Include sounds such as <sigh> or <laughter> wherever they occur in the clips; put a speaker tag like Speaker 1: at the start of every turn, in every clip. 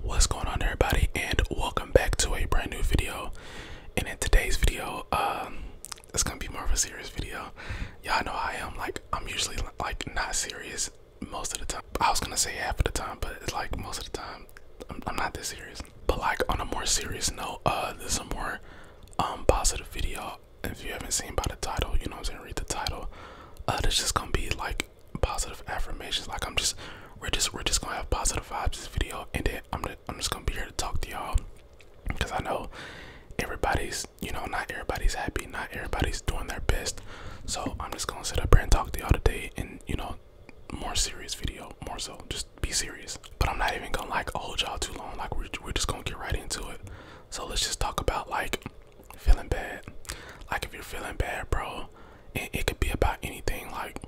Speaker 1: What's going on everybody and welcome back to a brand new video and in today's video um it's gonna be more of a serious video y'all know I am like I'm usually like not serious most of the time I was gonna say half of the time but it's like most of the time I'm, not this serious but like on a more serious note uh this is a more um positive video if you haven't seen by the title you know I'm saying read the title uh it's just gonna be like positive affirmations. Like I'm just we're just we're just gonna have positive vibes this video, and then I'm gonna, I'm just gonna be here to talk to y'all because I know everybody's you know not everybody's happy, not everybody's doing their best. So I'm just gonna sit up here and talk to y'all today, and you know more serious video, more so just be serious. But I'm not even gonna like hold y'all too long. Like we're we're just gonna get right into it. So let's just talk about like feeling bad. Like if you're feeling bad, bro, and it could be about anything like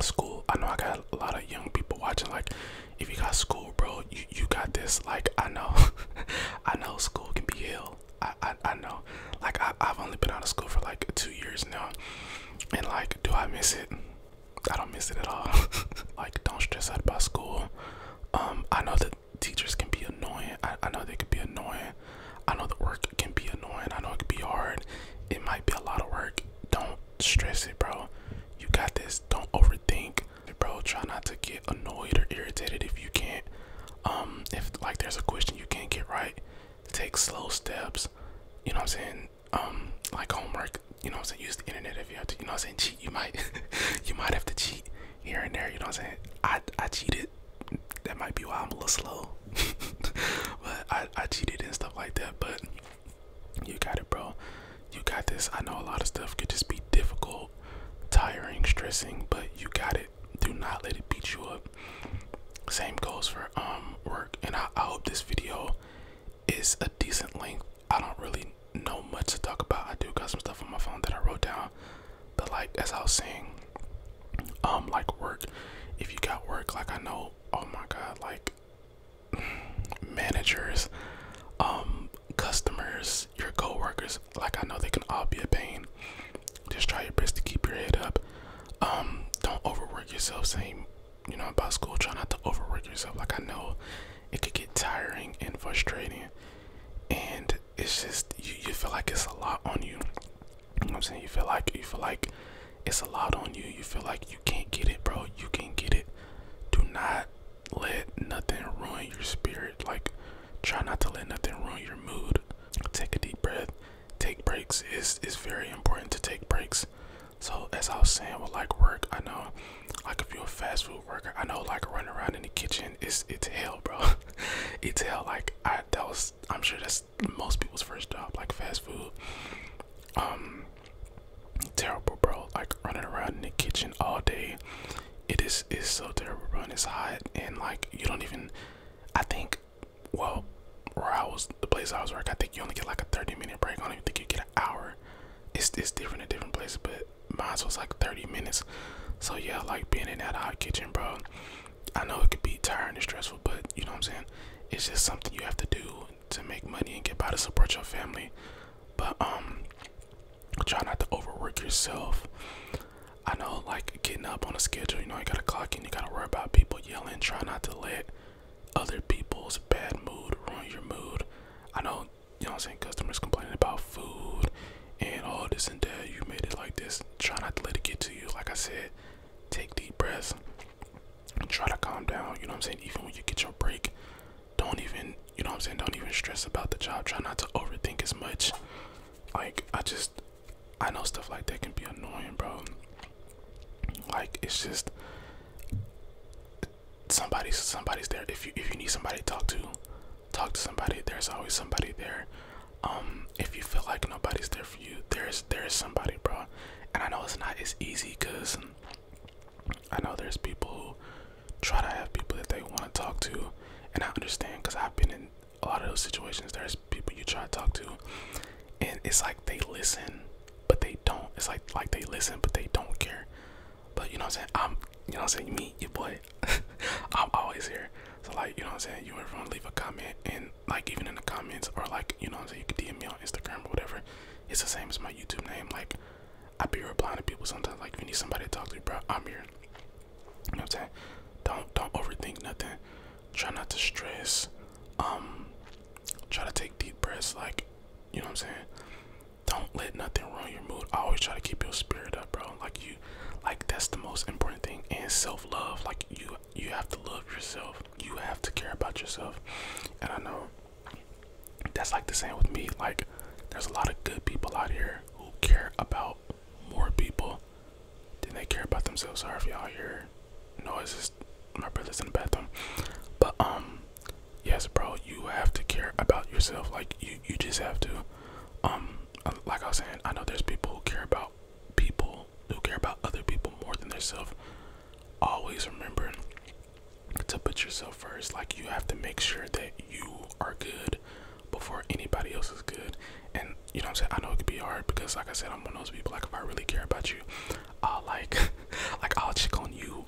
Speaker 1: school i know i got a lot of young people watching like if you got school bro you, you got this like i know <laughs> i know school can be hell I, I i know like I, i've only been out of school for like two years now and like do i miss it i don't miss it at all <laughs> like don't stress out about school um i know that teachers can be annoying i, I know they could be annoying I know the work can be annoying. I know it can be hard. It might be a lot of work. Don't stress it, bro. You got this. Don't overthink, bro. Try not to get annoyed or irritated if you can't. Um, if like there's a question you can't get right, take slow steps. You know what I'm saying? Um, like homework. You know what I'm saying? Use the internet if you have to. You know what I'm saying? Cheat. You might. <laughs> you might have to cheat here and there. You know what I'm saying? I I cheated that might be why I'm a little slow. <laughs> but I, I cheated and stuff like that. But you got it, bro. You got this. I know a lot of stuff could just be difficult, tiring, stressing, but you got it. Do not let it beat you up. Same goes for um work. And I, I hope this video is a decent length. I don't really know much to talk about. I do got some stuff on my phone that I wrote down but like as I was saying, um, like work, if you got work, like I know, oh my god, like <sighs> managers, um, customers, your co-workers, like I know they can all be a pain. Just try your best to keep your head up. Um, don't overwork yourself. Same, you know, about school. Try not to overwork yourself. Like I know, it could get tiring and frustrating, and it's just you. You feel like it's a lot on you. You I'm saying? You feel like you feel like it's a lot on you. You feel like you can't get it, bro. You can not get it. Do not let nothing ruin your spirit. Like try not to let nothing ruin your mood. Take a deep breath. Take breaks. It's it's very important to take breaks. So as I was saying with like work, I know like if you're a fast food worker, I know like running around in the kitchen is it's hell, bro. <laughs> it's hell. Like I that was I'm sure that's most people's first job, like fast food. Um, terrible, bro. Like running around in the kitchen all day. It is is so terrible, bro. And it's hot, and like you don't even. I think, well, where I was, the place I was working, I think you only get like a 30 minute break. I don't think you get an hour. It's it's different at different places, but mine was like 30 minutes. So yeah, like being in that hot kitchen, bro. I know it could be tiring and stressful, but you know what I'm saying? It's just something you have to do to make money and get by to support your family. But um try not to overwork yourself. I know like getting up on a schedule, you know, you gotta clock in, you gotta worry about people yelling, try not to let other people's bad mood ruin your mood. I know, you know what I'm saying, customers complaining about food and all this and that. You made it like this. Try not to let it get to you. Like I said, take deep breaths. Try to calm down. You know what I'm saying? Even when you get your break, don't even, you know what I'm saying? Don't even stress about the job. Try not to overthink as much. Like, I just, I know stuff like that can be annoying, bro. Like, it's just, somebody's somebody's there if you if you need somebody to talk to talk to somebody there's always somebody there um, if you feel like nobody's there for you, there's there's somebody, bro. And I know it's not as easy because I know there's people who try to have people that they want to talk to, and I understand because I've been in a lot of those situations. There's people you try to talk to, and it's like they listen, but they don't. It's like like they listen, but they don't care. But you know what I'm saying? I'm you know what I'm saying? Meet your boy <laughs> I'm always here. So like you know what I'm saying, you ever want to leave a comment and like even in the comments or like you know what I'm saying, you can DM me on Instagram or whatever. It's the same as my YouTube name. Like I would be replying to people sometimes. Like if you need somebody to talk to, bro, I'm here. You know what I'm saying? Don't don't overthink nothing. Try not to stress. Um, try to take deep breaths. Like you know what I'm saying. Don't let nothing ruin your mood. I always try to keep your spirit up, bro. Like you like that's the most important thing and self-love like you you have to love yourself you have to care about yourself and i know that's like the same with me like there's a lot of good people out here who care about more people than they care about themselves sorry if y'all here. hear noises my brother's in the bathroom but um yes bro you have to care about yourself like you you just have to um, uh, like I was saying, I know there's people who care about people who care about other people more than themselves. Always remember to put yourself first. Like you have to make sure that you are good before anybody else is good. And you know what I'm saying? I know it could be hard because like I said, I'm one of those people like if I really care about you, I'll like <laughs> like I'll check on you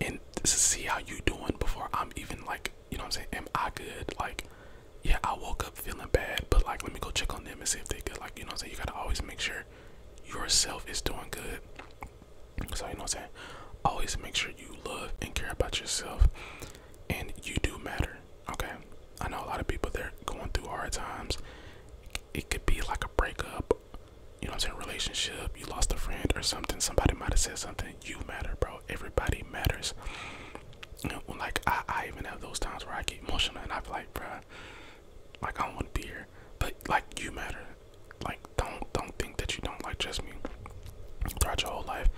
Speaker 1: and see how you are doing before I'm even like, you know what I'm saying, am I good? Like yeah, I woke up feeling bad, but like, let me go check on them and see if they could Like, you know what I'm saying? You gotta always make sure yourself is doing good. So, you know what I'm saying? Always make sure you love and care about yourself, and you do matter, okay? I know a lot of people they're going through hard times. It could be like a breakup, you know what I'm saying? Relationship, you lost a friend or something, somebody might have said something. You matter, bro. Everybody matters. like I, even have those times where I get emotional and I feel like, bro, like I don't want to be here. But like you matter. Like don't don't think that you don't like just me. Throughout your whole life,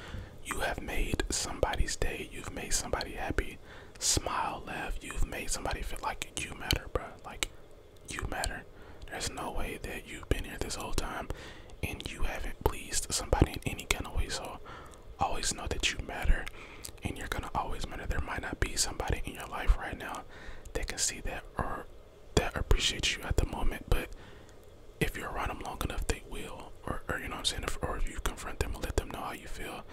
Speaker 1: you have made somebody's day. You've made somebody happy, smile, laugh. You've made somebody feel like you matter, bro. Like you matter. There's no way that you've been here this whole time and you haven't pleased somebody in any kind of way. So Always know that you matter and you're gonna always matter. There might not be somebody in your life right now that can see that or that appreciates you at the moment, but if you're around them long enough, they will. Or, or you know what I'm saying? or if you confront them and let them know how you feel,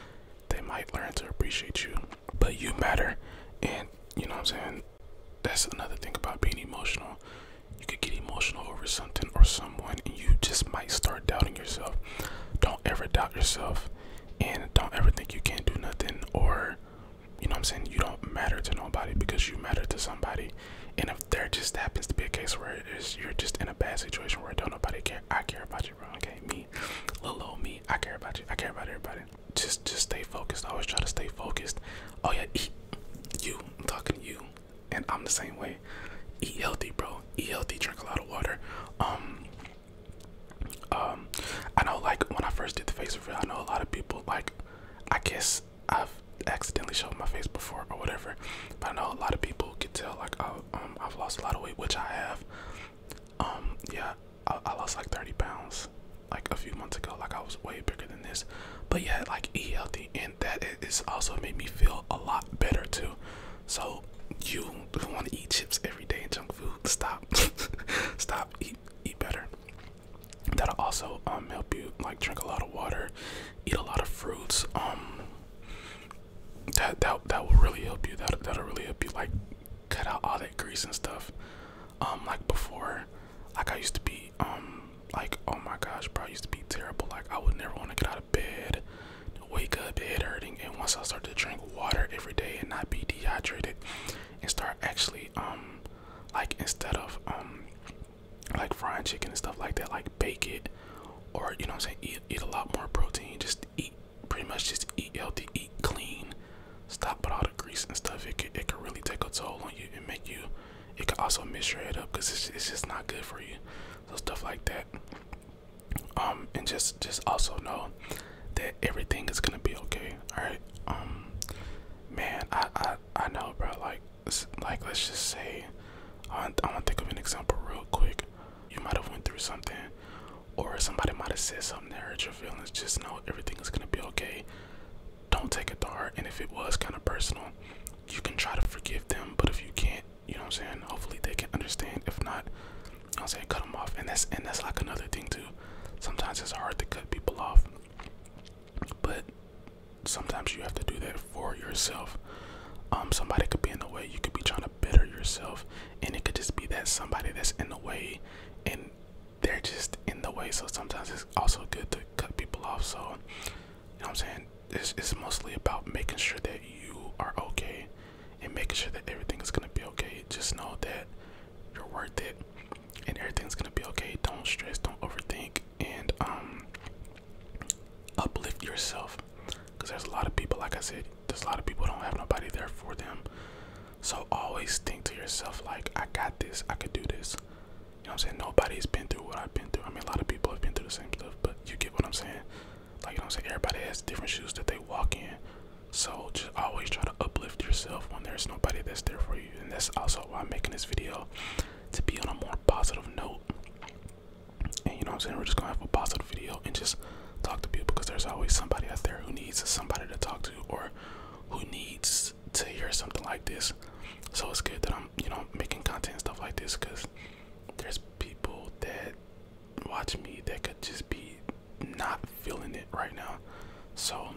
Speaker 1: they might learn to appreciate you. But you matter, and you know what I'm saying? That's another thing about being emotional you could get emotional over something or someone and you just might start doubting yourself don't ever doubt yourself and don't ever think you can't do nothing or you know what i'm saying you don't matter to nobody because you matter to somebody and if there just happens to be a case where is you're just in a bad situation where don't nobody care i care about you bro okay me little old me i care about you i care about everybody just just stay focused always try to stay focused oh yeah you i'm talking to you and I'm the same way. Eat healthy, bro. Eat healthy. Drink a lot of water. Um, um, I know, like when I first did the face reveal, I know a lot of people like. I guess I've accidentally showed my face before or whatever, but I know a lot of people can tell like I, have um, lost a lot of weight, which I have. Um, yeah, I, I lost like 30 pounds like a few months ago. Like I was way bigger than this, but yeah, like eat healthy me and that is also made me feel a lot better too so you want to eat chips every day and junk food stop <laughs> stop eat eat better that'll also um, help you like drink a lot of water eat a lot of fruits um that that, that will really help you that that'll really help you like cut out all that grease and stuff um like before like i used to be um like oh my gosh bro i used to be terrible like i would never want to get out of bed, wake up head hurting, and once I start to drink water every day and not be dehydrated, and start actually um like instead of um like frying chicken and stuff like that, like bake it, or you know what I'm saying, eat eat a lot more protein, just eat pretty much just eat healthy, eat clean, stop with all the grease and stuff. It could it could really take a toll on you and make you. It could also mess your head up because it's just not good for you so stuff like that um and just just also know that everything is gonna be okay all right um man i i, I know bro like like let's just say i, I want to think of an example real quick you might have went through something or somebody might have said something that hurt your feelings just know everything is gonna be okay don't take it to heart and if it was kind of personal you can try to forgive them, but if you can't, you know what I'm saying? Hopefully they can understand. If not, I'm saying, cut them off. And that's and that's like another thing too. Sometimes it's hard to cut people off. But sometimes you have to do that for yourself. Um, somebody could be in the way, you could be trying to better yourself, and it could just be that somebody that's in the way and they're just in the way. So sometimes it's also good to cut people off. So you know what I'm saying? It's mostly about making sure that you are okay and making sure that everything is gonna be okay. Just know that you're worth it and everything's gonna be okay. Don't stress, don't overthink, and um uplift yourself. Cause there's a lot of people, like I said, there's a lot of people don't have nobody there for them. So always think to yourself like I got this, I could do this. You know what I'm saying? Nobody's been through what I've been through. I mean, a lot of people have been through the same stuff, but you get what I'm saying? Like, you know what I'm saying? Everybody has different shoes that they walk in. So just always try to uplift yourself when there's nobody that's there for you. And that's also why I'm making this video to be on a more positive note. And you know what I'm saying? We're just gonna have a positive video and just talk to people because there's always somebody out there who needs somebody to talk to or who needs to hear something like this so it's good that i'm you know making content and stuff like this because there's people that watch me that could just be not feeling it right now so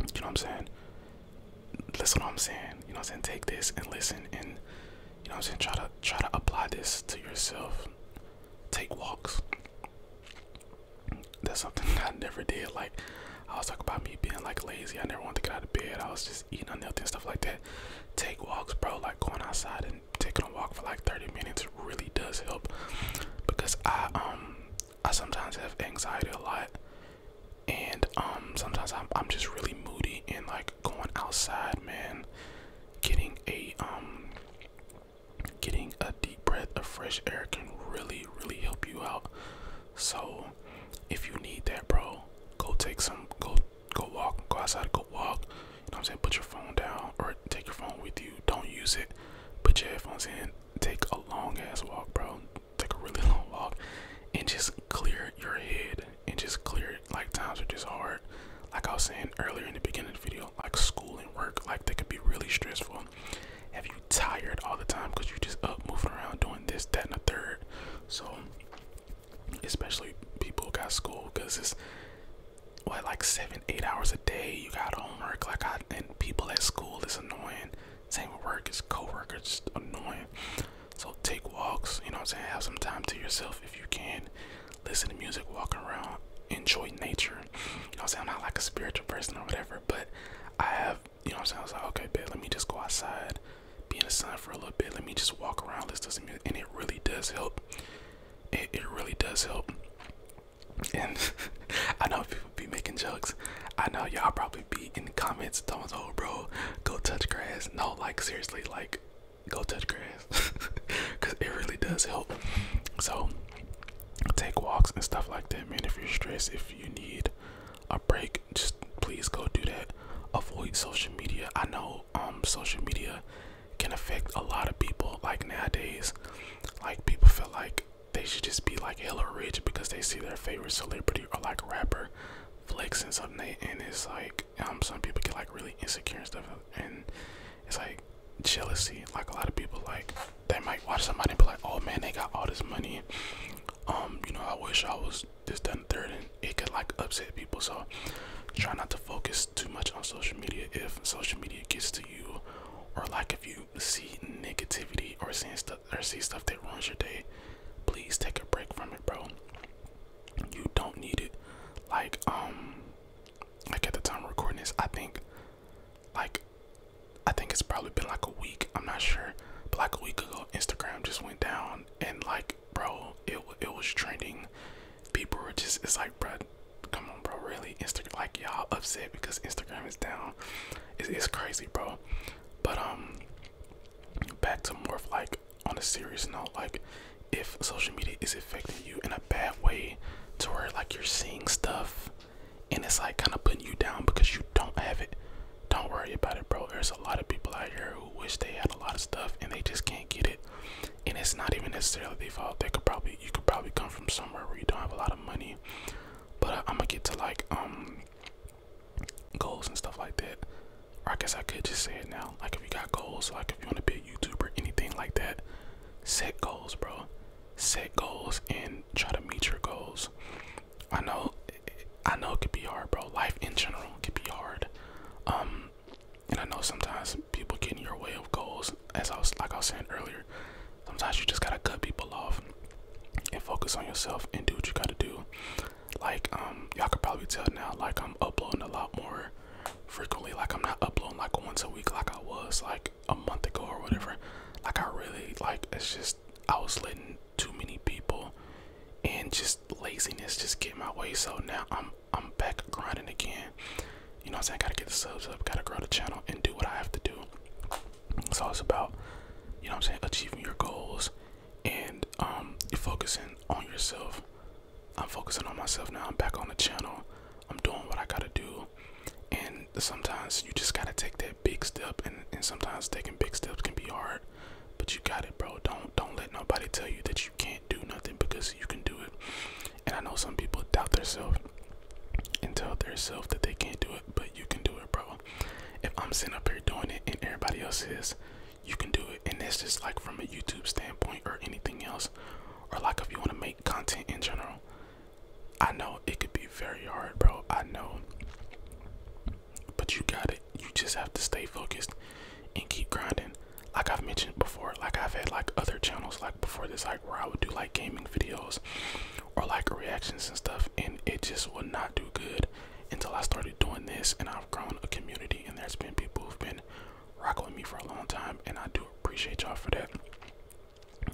Speaker 1: you know what i'm saying listen what i'm saying you know what i'm saying take this and listen and you know what i'm saying try to try to apply this to yourself take walks that's something <laughs> i never did like I was talking about me being like lazy. I never wanted to get out of bed. I was just eating unhealthy stuff like that. Take walks, bro. Like going outside and taking a walk for like 30 minutes really does help. Because I um I sometimes have anxiety a lot, and um sometimes I'm I'm just really moody and like going outside, man. Getting a um getting a deep breath of fresh air can really really help you out. So if you need that, bro, go take some, go go walk, go outside, go walk. You know what I'm saying? Put your phone down or take your phone with you. Don't use it. Put your headphones in. Take a long ass walk, bro. Take a really <laughs> long walk and just clear your head and just clear it. like times are just hard. Like I was saying earlier in the beginning of the video, like school and work, like they could be really stressful. Have you tired all the time because you just up moving around doing this, that, and the third? So especially people who got school because it's what like seven eight hours a day you got homework like I, and people at school is annoying same with work is co annoying so take walks you know what i'm saying have some time to yourself if you can listen to music walk around enjoy nature you know i'm not like a spiritual person or whatever but i have you know what I'm saying? I was like, okay, bet, let me just go outside, be in the sun for a little bit, let me just walk around, This doesn't and it really does help. It, really does help. And <laughs> I know people be making jokes. I know y'all probably be in the comments telling oh bro, go touch grass. No, like seriously, like go touch grass. <laughs> Cause it really does help. So take walks and stuff like that, man. If you're stressed, if you need a break, just please go do that. Avoid social media. I know um social media can affect a lot of people. Like nowadays, like people feel like they should just be like hella rich because they see their favorite celebrity or like rapper flexing something and it's like um some people get like really insecure and stuff and it's like jealousy. Like a lot of people like they might watch somebody and be like, Oh man, they got all this money. Um, you know, I wish I was this, that, and and it could like upset people. So try not to focus too much on social media if social media gets to you, or like if you see negativity or see stuff that ruins your day. Please take a break from it, bro. You don't need it. Like um, like at the time recording this, I think, like, I think it's probably been like a week. I'm not sure like a week ago, Instagram just went down, and like, bro, it it was trending. People were just, it's like, bro, come on, bro, really? Instagram, like, y'all upset because Instagram is down. It's, it's crazy, bro. But um, back to more of like on a serious note, like, if social media is affecting you in a bad way, to where like you're seeing stuff, and it's like kind of putting you down because you don't have it. Don't worry about it, bro. There's a lot of people out here who wish they had a lot of stuff and they just can't get it. And it's not even necessarily their fault. They could probably you could probably come from somewhere where you don't have a lot of money. But I, am gonna get to like um goals and stuff like that. I guess I could just say it now. Like if you got goals, like if you want to be a YouTuber, anything like that, set goals, bro. Set goals and try to meet your goals. I know, I know it could be hard, bro. Life in general could be hard. Um, and I know sometimes people get in your way of goals. As I was, like I was saying earlier, sometimes you just gotta cut people off and focus on yourself and do what you gotta do. Like, um, y'all could probably tell now, like I'm uploading a lot more frequently. Like I'm not uploading like once a week, like I was like a month ago or whatever. Like I really like it's just I was letting too many people and just laziness just get my way. So now I'm I'm back grinding again. You know I'm saying? I gotta get the subs up, gotta grow the channel and do what I have to do. So it's about, you know I'm saying, achieving your goals and um focusing on yourself. I'm focusing on myself now. I'm back on the channel. I'm doing what I gotta do. And sometimes you just gotta take that big step, and sometimes taking big steps can be hard. But you got it, bro. Don't don't let nobody tell you that you can't do nothing because you can do it. And I know some people doubt themselves and tell themselves that they can't do it, but you can do it, bro. If I'm sitting up here doing it and everybody else is, you can do it. And it's just like from a YouTube standpoint or anything else, or like if you want to make content in general. I know it could be very hard, bro. I know but you got it. You just have to stay focused and keep grinding. Like I've mentioned before, like I've had like other channels like before this, like where I would do like gaming videos or like reactions and stuff, and it just would not do good until I started doing this and I've grown a community and there's been people who've been rocking with me for a long time and I do appreciate y'all for that.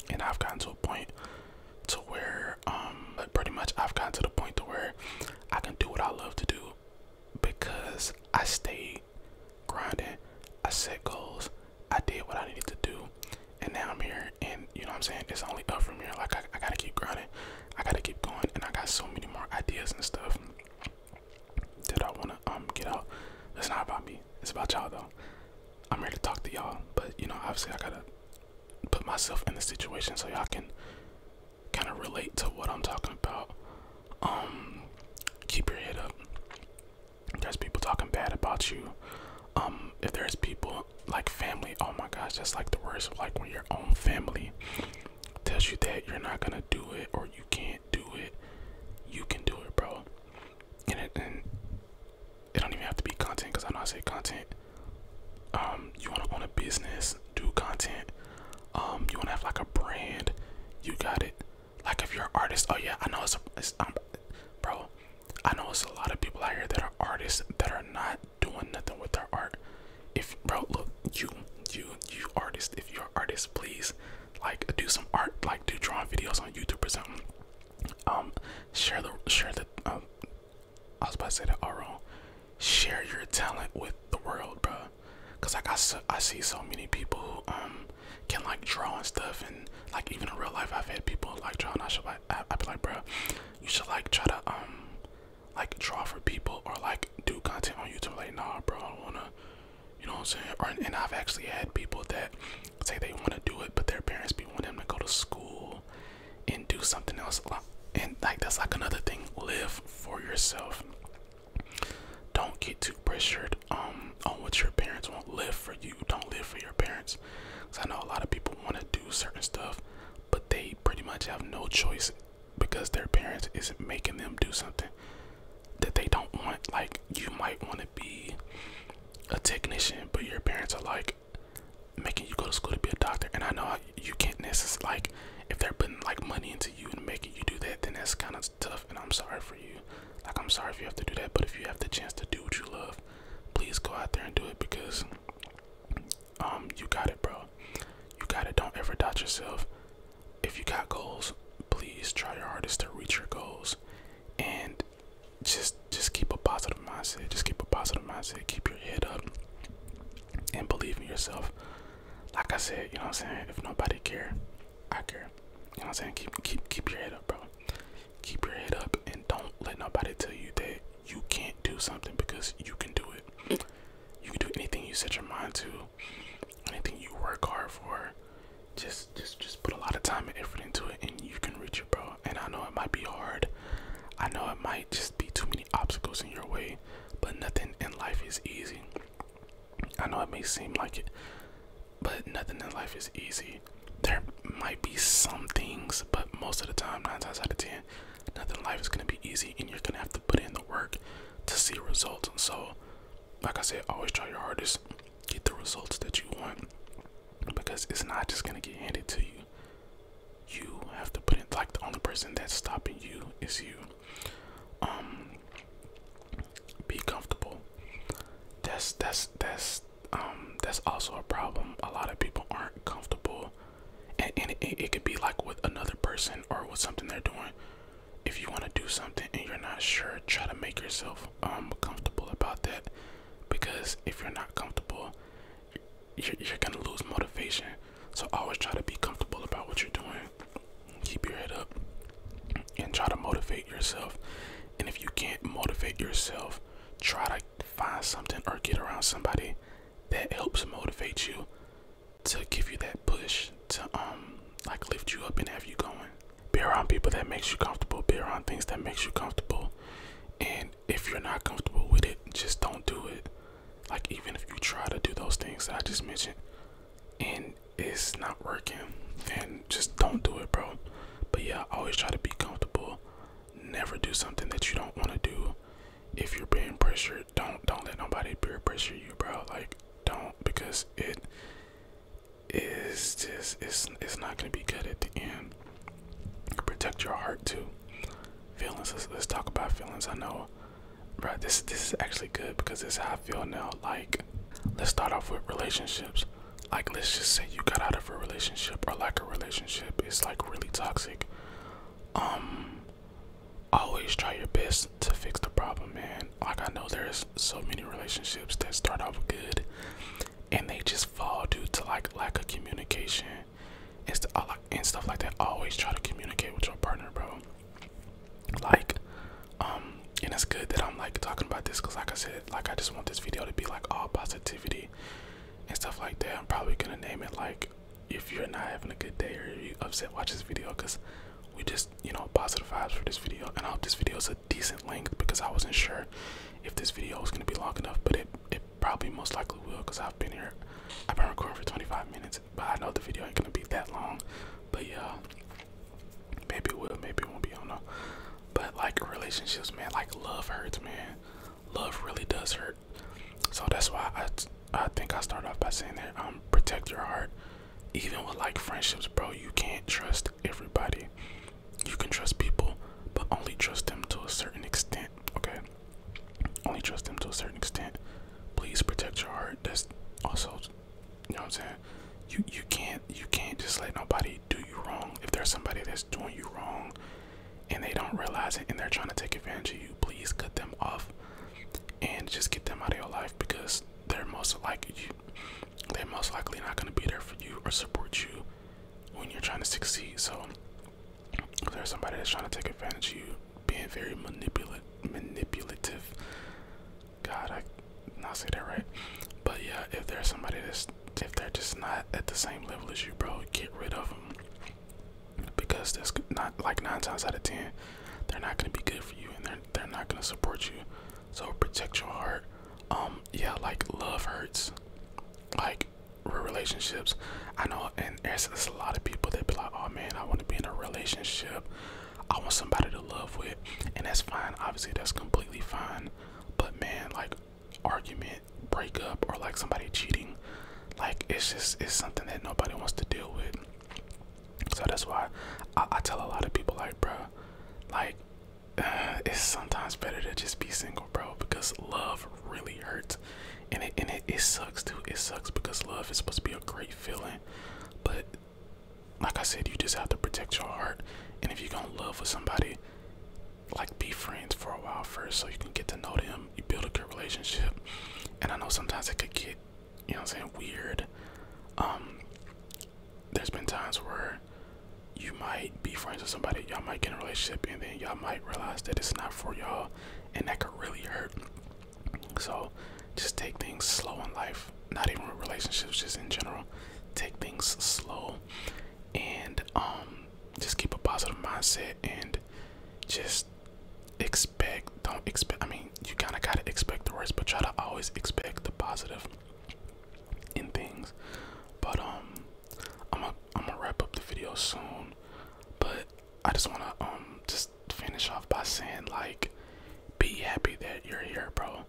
Speaker 1: And I've gotten to a point to where um pretty much I've gotten to the point to where I can do what I love to do because I stayed grinding, I set goals, I did what I needed to do, and now I'm here and you know what I'm saying it's only up from here. Like I, I gotta keep grinding, I gotta keep going and I got so many more ideas and stuff that I wanna um get out. It's not about me, it's about y'all though. I'm here to talk to y'all, but you know obviously I gotta put myself in the situation so y'all can kind of relate to what I'm talking about. Um, keep your head up. There's people talking bad about you. Um, if there's people like family, oh my gosh, that's like the worst. Like when your own family tells you that you're not gonna do it or you can't do it, you can do it, bro. And, and it don't even have to be content because I know I say content. Um, you want to own a business, do content. Um, you want to have like a brand, you got it. Like if you're an artist, oh yeah, I know it's, a, um, bro. I know it's a lot of people out here that are artists that are not doing nothing with their art. If bro, look, you, you, you artist. If you're an artist, please, like, do some art, like, do drawing videos on YouTube or something. Um, share the share the um I was about to say that all Share your talent with the world, bro. Cause like I, see so many people who um, can like draw and stuff, and like even in real life I've had people like draw, and I should like I, I be like, bro, you should like try to um like draw for people or like do content on YouTube. Like, nah, bro, I wanna. You know what I'm saying? and I've actually had people that say they want to do it, but their parents be wanting them to go to school and do something else and like that's like another thing live for yourself don't get too pressured um, on what your parents want. live for you don't live for your parents because i know a lot of people want to do certain stuff but they pretty much have no choice because their parents isn't making them do something that they don't want like you might want to be a technician but your parents are like making you go to school to be a doctor and i know you can't necessarily like if they're putting like money into you and making you do that then that's kind of tough and i'm sorry for you like i'm sorry if you have to do that but if you have the chance to do what you love please go out there and do it because um you got it bro you got it don't ever doubt yourself if you got goals please try your hardest to reach your goals and just just keep a positive mindset. Just keep a positive mindset. Keep your head up and believe in yourself. Like I said, you know what I'm saying? If nobody care, I care. You know what I'm saying? Keep keep keep your head up, bro. Keep your head up and don't let nobody tell you that you can't do something because you can do it. You can do anything you set your mind to, anything you work hard for. Just just just put a lot of time and effort into it and you can reach it, bro and I know it might be hard. I know it might just be too many obstacles in your way, but nothing in life is easy. I know it may seem like it, but nothing in life is easy. There might be some things, but most of the time, nine times out of ten, nothing in life is gonna be easy, and you're gonna have to put in the work to see results. And so, like I said, always try your hardest, get the results that you want, because it's not just gonna get handed to you you have to put in like the only person that's stopping you is you um be comfortable that's that's that's um that's also a problem a lot of people aren't comfortable and, and it, it could be like with another person or with something they're doing if you want to do something and you're not sure try to make yourself um comfortable about that because if you're not comfortable you're, gonna lose motivation. So always try to be comfortable about what you're doing. Keep your head up and try to motivate yourself. And if you can't motivate yourself, try to find something or get around somebody that helps motivate you to give you that push to um like lift you up and have you going. Be around people that makes you comfortable. Be around things that makes you comfortable. And if you're not comfortable with it just don't do it like even if you try to do those things i just mentioned and it's not working then just don't do it bro but yeah always try to be comfortable never do something that you don't want to do if you're being pressured don't don't let nobody peer pressure you bro like don't because it is just it's it's not gonna be good at the end Protect your heart too. Feelings. Let's, talk about feelings. I know, right? This this is actually good because this is how I feel now. Like, let's start off with relationships. Like, let's just say you got out of a relationship or like a relationship is like really toxic. Um, always try your best to fix the problem, man. Like I know there's so many relationships that start off good and they just fall due to like lack of communication uh, and, stuff like that. Always try to communicate with your partner, bro. Like, um, and it's good that I'm like talking about this because, like I said, like I just want this video to be like all positivity and stuff like that. I'm probably gonna name it like if you're not having a good day or you upset, watch this video because we just you know positive vibes for this video. And I hope this video is a decent length because I wasn't sure if this video was gonna be long enough, but it it probably most likely will because I've been here. I've been recording for 25 minutes, but I know the video ain't gonna be that long. But yeah, maybe it will, maybe it won't be. on though. But like relationships, man, like love hurts, man. Love really does hurt. So that's why I, I think I start off by saying that um protect your heart. Even with like friendships, bro, you can't trust everybody you can trust people, but only trust them to a certain extent. Okay, only trust them to a certain extent. Please protect your heart. That's also, you know what I'm saying. You you can't you can't just let nobody do you wrong. If there's somebody that's doing you wrong, and they don't realize it, and they're trying to take advantage of you, please cut them off, and just get them out of your life because they're most likely they're most likely not gonna be there for you or support you when you're trying to succeed. So if there's somebody that's trying to take advantage of you, being very manipulative. Manipulative. God, I not say that right. But yeah, if there's somebody that's if they're just not at the same level as you, bro, get rid of them because that's not like nine times out of ten, they're not gonna be good for you and they're they're not gonna support you. So protect your heart. Um, yeah, like love hurts. Like like relationships. I know, and there's, there's a lot of people that be like, "Oh man, I want to be in a relationship. I want somebody to love with," and that's fine. Obviously, that's completely fine. But man, like argument, breakup, or like somebody cheating, like it's just it's something that nobody wants to deal with. So that's why I, I tell a lot of people, like, bro, like <sighs> it's sometimes better to just be single, bro, because love really hurts. And it and it, it sucks too. It sucks because love is supposed to be a great feeling. But like I said, you just have to protect your heart. And if you're gonna love with somebody, like be friends for a while first so you can get to know them. You build a good relationship. And I know sometimes it could get, you know I'm saying, weird. Um there's been times where you might be friends with somebody, y'all might get a relationship, and then y'all might realize that it's not for y'all, and that could really hurt. So, just take things slow in life, not even with relationships, just in general. Take things slow, and um, just keep a positive mindset, and just expect. Don't expect. I mean, you kind of gotta expect the worst, but try to always expect the positive. In things. But um, I'm gonna am going wrap up the video soon. But I just wanna um just finish off by saying like, be happy that you're here, bro.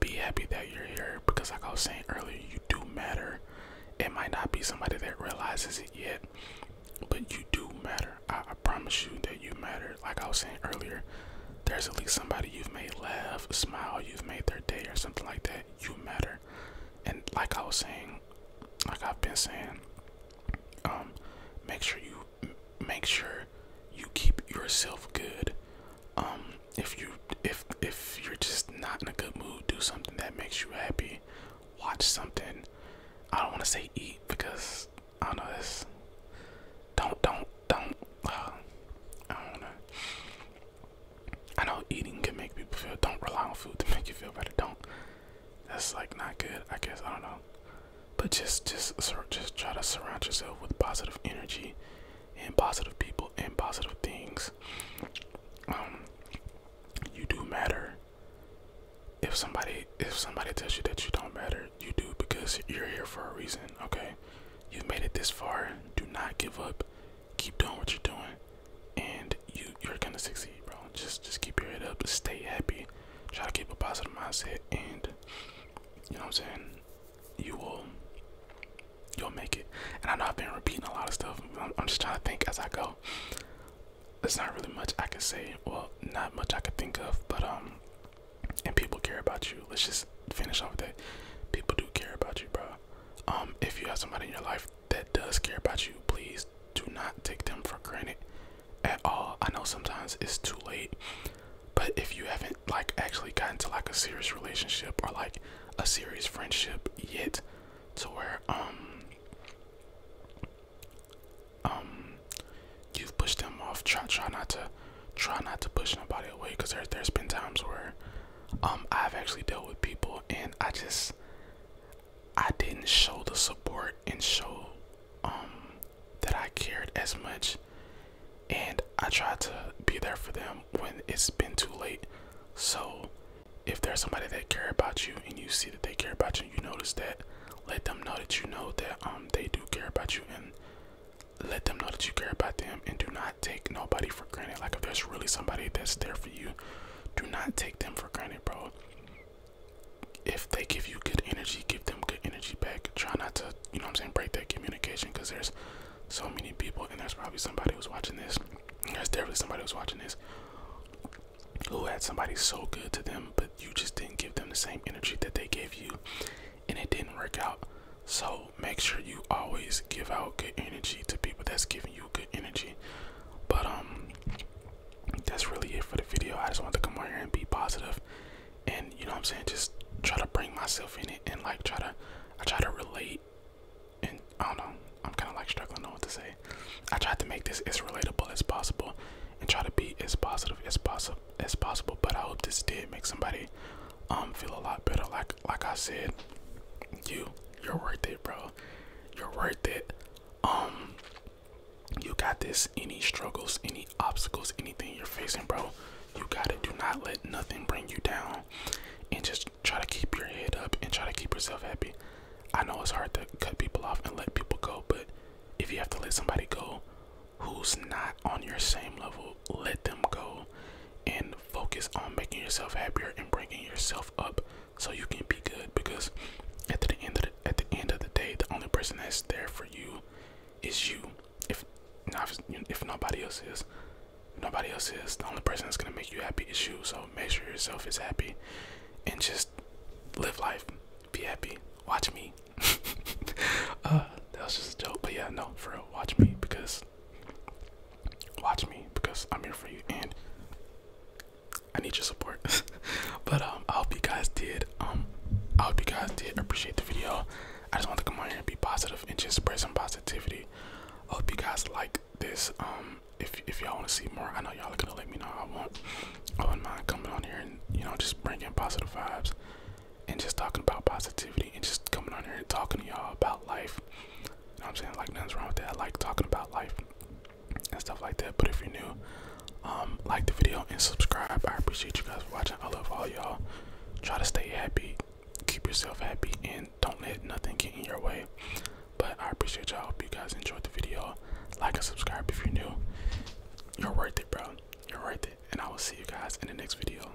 Speaker 1: Be happy that you're here because like I was saying earlier, you do matter. It might not be somebody that realizes it yet, but you do matter. I promise you that you matter. Like I was saying earlier, there's at least somebody you've made laugh, smile, you've made their day, or something like that. You matter. And like I was saying, like I've been saying, um, make sure you make sure you keep yourself good. Um, if you if if you're just not in a good mood, do something that makes you happy. Watch something. I don't want to say eat because I don't know it's Don't don't don't. Uh, I don't want I know eating can make people feel. Don't rely on food to make you feel better. Don't. That's like not good. I guess I don't know. But just, just, just try to surround yourself with positive energy, and positive people, and positive things. Um, you do matter. If somebody, if somebody tells you that you don't matter, you do because you're here for a reason. Okay, you've made it this far. Do not give up keep doing what you're doing and you you're gonna succeed bro just just keep your head up stay happy try to keep a positive mindset and you know what i'm saying you will you'll make it and i know i've been repeating a lot of stuff i'm, just trying to think as i go there's not really much i can say well not much i can think of but um and people care about you let's just finish off that. People do care about you, bro. Um, if you have somebody in your life that does care about you, please do not take them for granted at all. I know sometimes it's too late, but if you haven't like actually gotten to like a serious relationship or like a serious friendship yet, to where um um you've pushed them off, try try not to try not to push nobody away because there, there's been times where um I've actually dealt with people and I just I didn't show the support and show um that I cared as much and I tried to be there for them when it's been too late. So if there's somebody that care about you and you see that they care about you and you notice that, let them know that you know that um they do care about you and let them know that you care about them and do not take nobody for granted. Like if there's really somebody that's there for you, do not take them for granted, bro. If they give you good energy, give them good energy back. Try not to, you know what I'm saying, break that communication because there's so many people and there's probably somebody who's watching this. There's definitely somebody who's watching this who had somebody so good to them, but you just didn't give them the same energy that they gave you and it didn't work out. So make sure you always give out good energy to people that's giving you good energy. But um that's really it for the video. I just want to come on here and be positive and you know what I'm saying, just try to bring myself in it and like try to I try to relate and I don't know, I'm kinda like struggling on what to say. I tried to make this as relatable as possible and try to be as positive as possible as possible. But I hope this did make somebody um feel a lot better like like i said you you're worth it bro you're worth it um you got this any struggles any obstacles anything you're facing bro you got it do not let nothing bring you down and just try to keep your head up and try to keep yourself happy i know it's hard to cut people off and let people go but if you have to let somebody go who's not on your same level let them go and focus on making yourself happier and bringing yourself up so you can be good because at the end of the, at the end of the day the only person that's there for you is you if not if nobody else is nobody else is the only person that's going to make you happy is you so make sure yourself is happy and just live life be happy watch me <laughs> uh that was just a joke but yeah no for real watch me because watch me because I'm here for you and I need your support. <laughs> but um, I hope you guys did. Um, I hope you guys did appreciate the video. I just want to come on here and be positive and just spread some positivity. I hope you guys like this. Um, if if y'all want to see more, I know y'all are gonna let me know. I want, I wouldn't mind coming on here and you know just bringing positive vibes and just talking about positivity and just coming on here and talking to y'all about life. I'm saying? Like nothing's wrong with that. I like talking about life and stuff like that. But if you're new, um, like the video and subscribe. I appreciate you guys for watching. I love all y'all. Try to stay happy, keep yourself happy, and don't let nothing get in your way. But I appreciate y'all. Hope you guys enjoyed the video. Like and subscribe if you're new. You're worth it, bro. You're worth it. And I will see you guys in the next video.